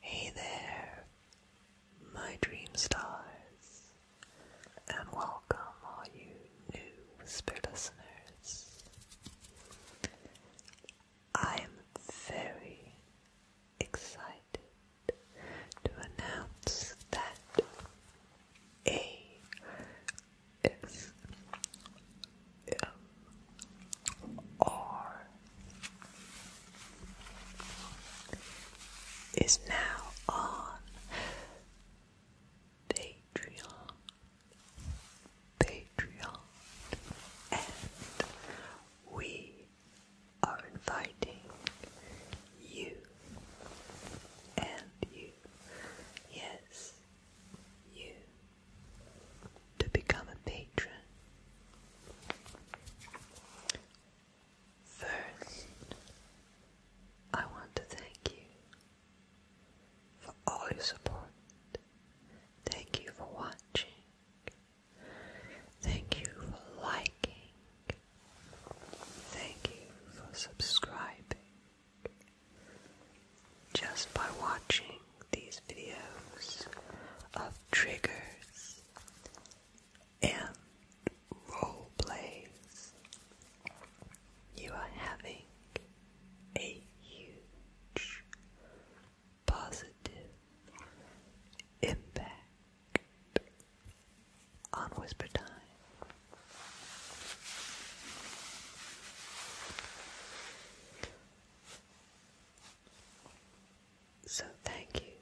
Hey there, my dream stars, and welcome all new whisper listeners. I am very excited to announce that A S M um, R is now on Patreon, Patreon, and we are inviting you and you, yes, you, to become a patron. First, I want to thank you for all your support. Thank you for watching. Thank you for liking. Thank you for subscribing. Just by watching these videos of triggers and role plays, you are having a huge positive impact on Whisper Time. So, thank you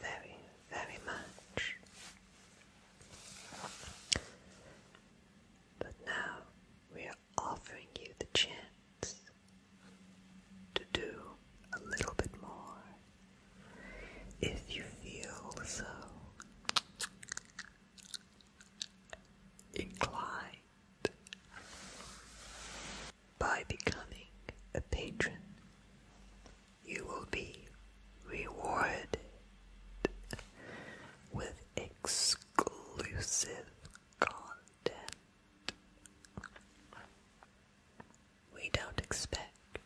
very, very much. But now we are offering you the chance to do a little bit more if you feel so inclined by becoming a patron you will be rewarded with exclusive content we don't expect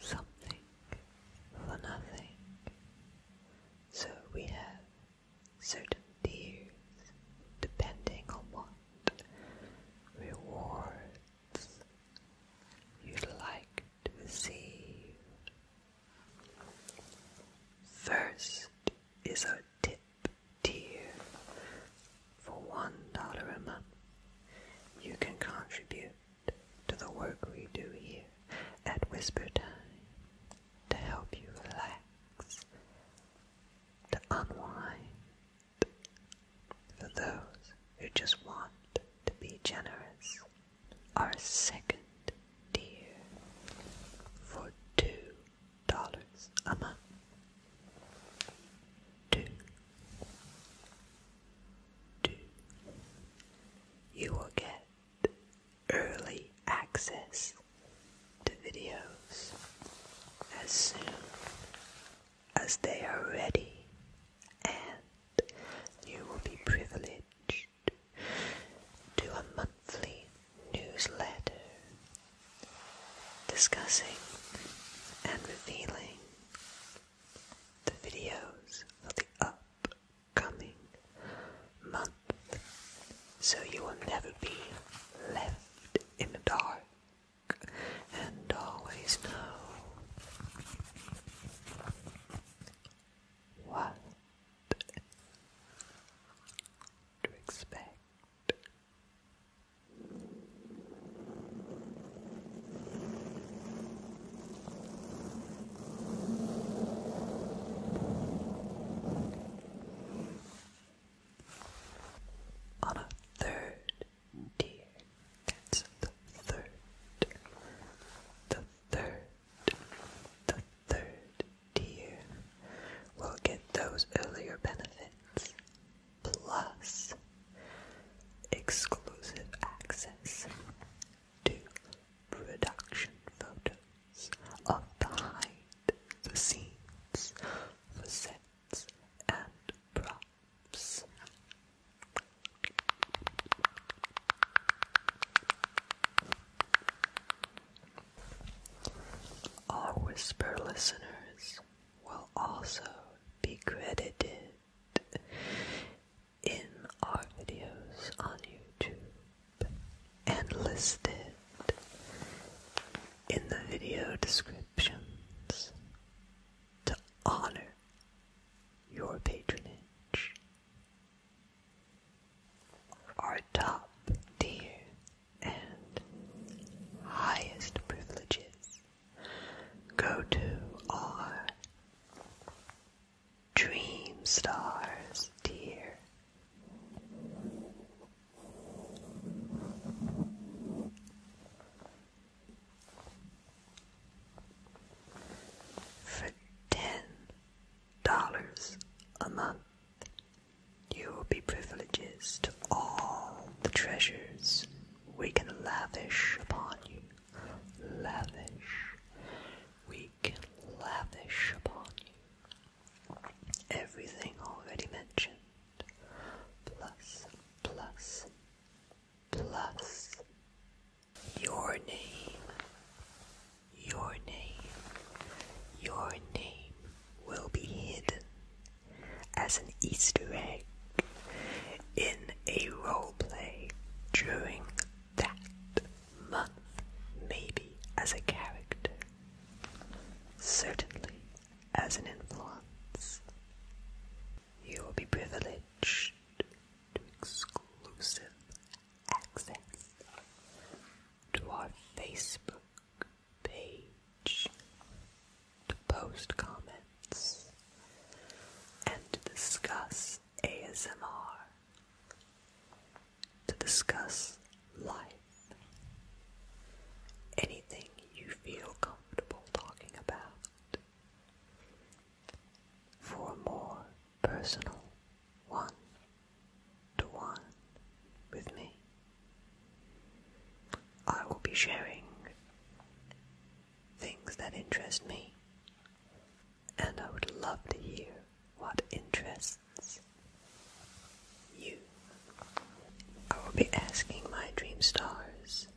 something for nothing. So we have certain tiers depending on what rewards you'd like to receive. First is our tip tier, for $1 a month, you can contribute to the work we do here at Whisper Time to help you relax, to unwind. For those who just want to be generous, our second tier for two dollars a month. Two do. You will get early access to videos as soon as they are ready, and you will be privileged to a monthly newsletter discussing and revealing the videos of the upcoming month so you will never be left in the dark and always know what to expect. On a third tier, the third, the third, the third tier will get those earlier benefits plus exclusive access to production photos of behind the scenes for sets and props. Our Whisper listeners will also be credited in our videos on YouTube and listed in the video descriptions to honor your patronage. Our top tier and highest privileges Go to our dream stars, dear. For ten dollars a month, you will be privileges to all the treasures we can lavish upon you. Lavish. We can lavish upon you. Everything already mentioned. Plus, plus, plus. Your name. Your name. Your name will be hidden as an Easter egg in a role play during that month, maybe as a character, certainly as an influence. You will be privileged to exclusive access to our Facebook page to post comments and to discuss ASMR, to discuss life, anything you feel comfortable talking about. For a more personal one to one with me. I will be sharing things that interest me, and I would love to hear what interests you. I will be asking my dream stars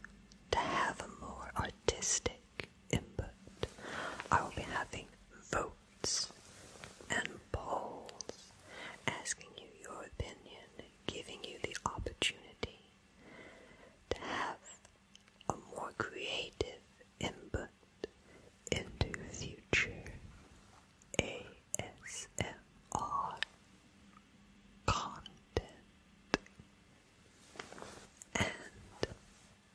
to have a more artistic input. I will be having votes and polls, asking you your opinion, giving you the opportunity to have a more creative input into future ASMR content. And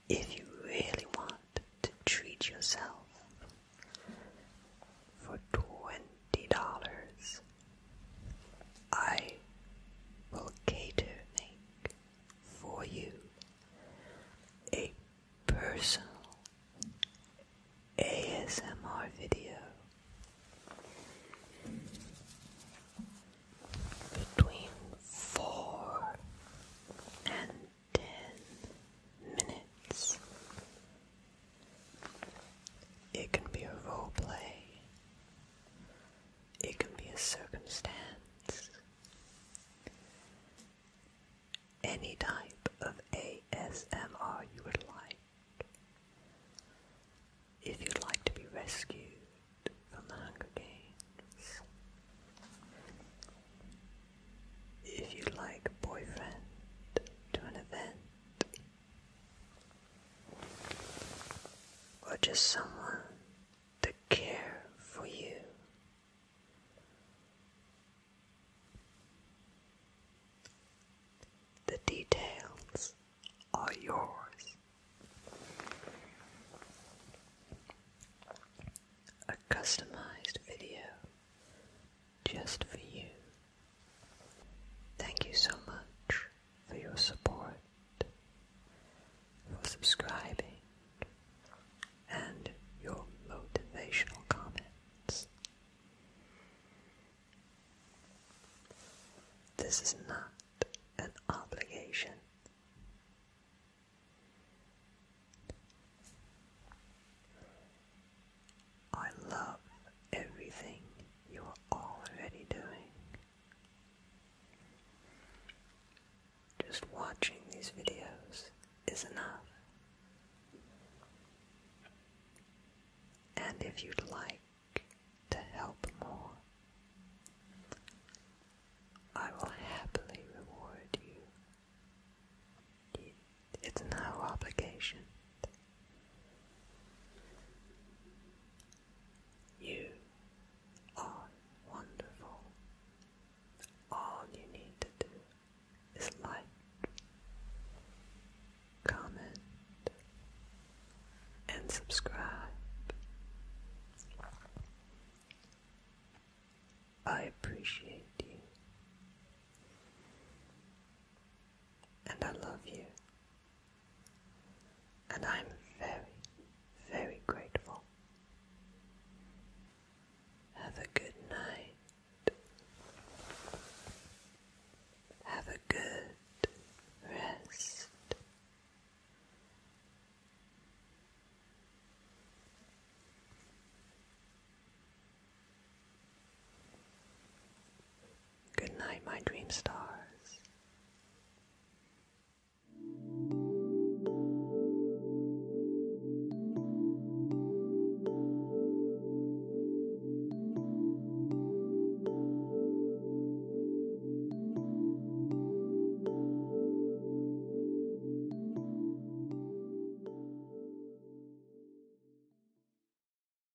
if you really want to treat yourself for $20 I will cater make for you a personal ASMR video between four and ten minutes it can be a role play. It can be a circumstance. Any type of ASMR you would like. If you'd like to be rescued from the Hunger Games. If you'd like boyfriend to an event or just someone to care for you. The details are yours. A customized video just for you. Thank you so much for your support, for subscribing, and your motivational comments. This is not an obligation. I love everything you are already doing. Just watching these videos is enough. And if you'd like to help more, I will happily reward you. It's no obligation you are wonderful. All you need to do is like, comment, and subscribe. I appreciate you. And I love you and I'm very, very grateful. Have a good night. Have a good rest. Good night, my dream stars.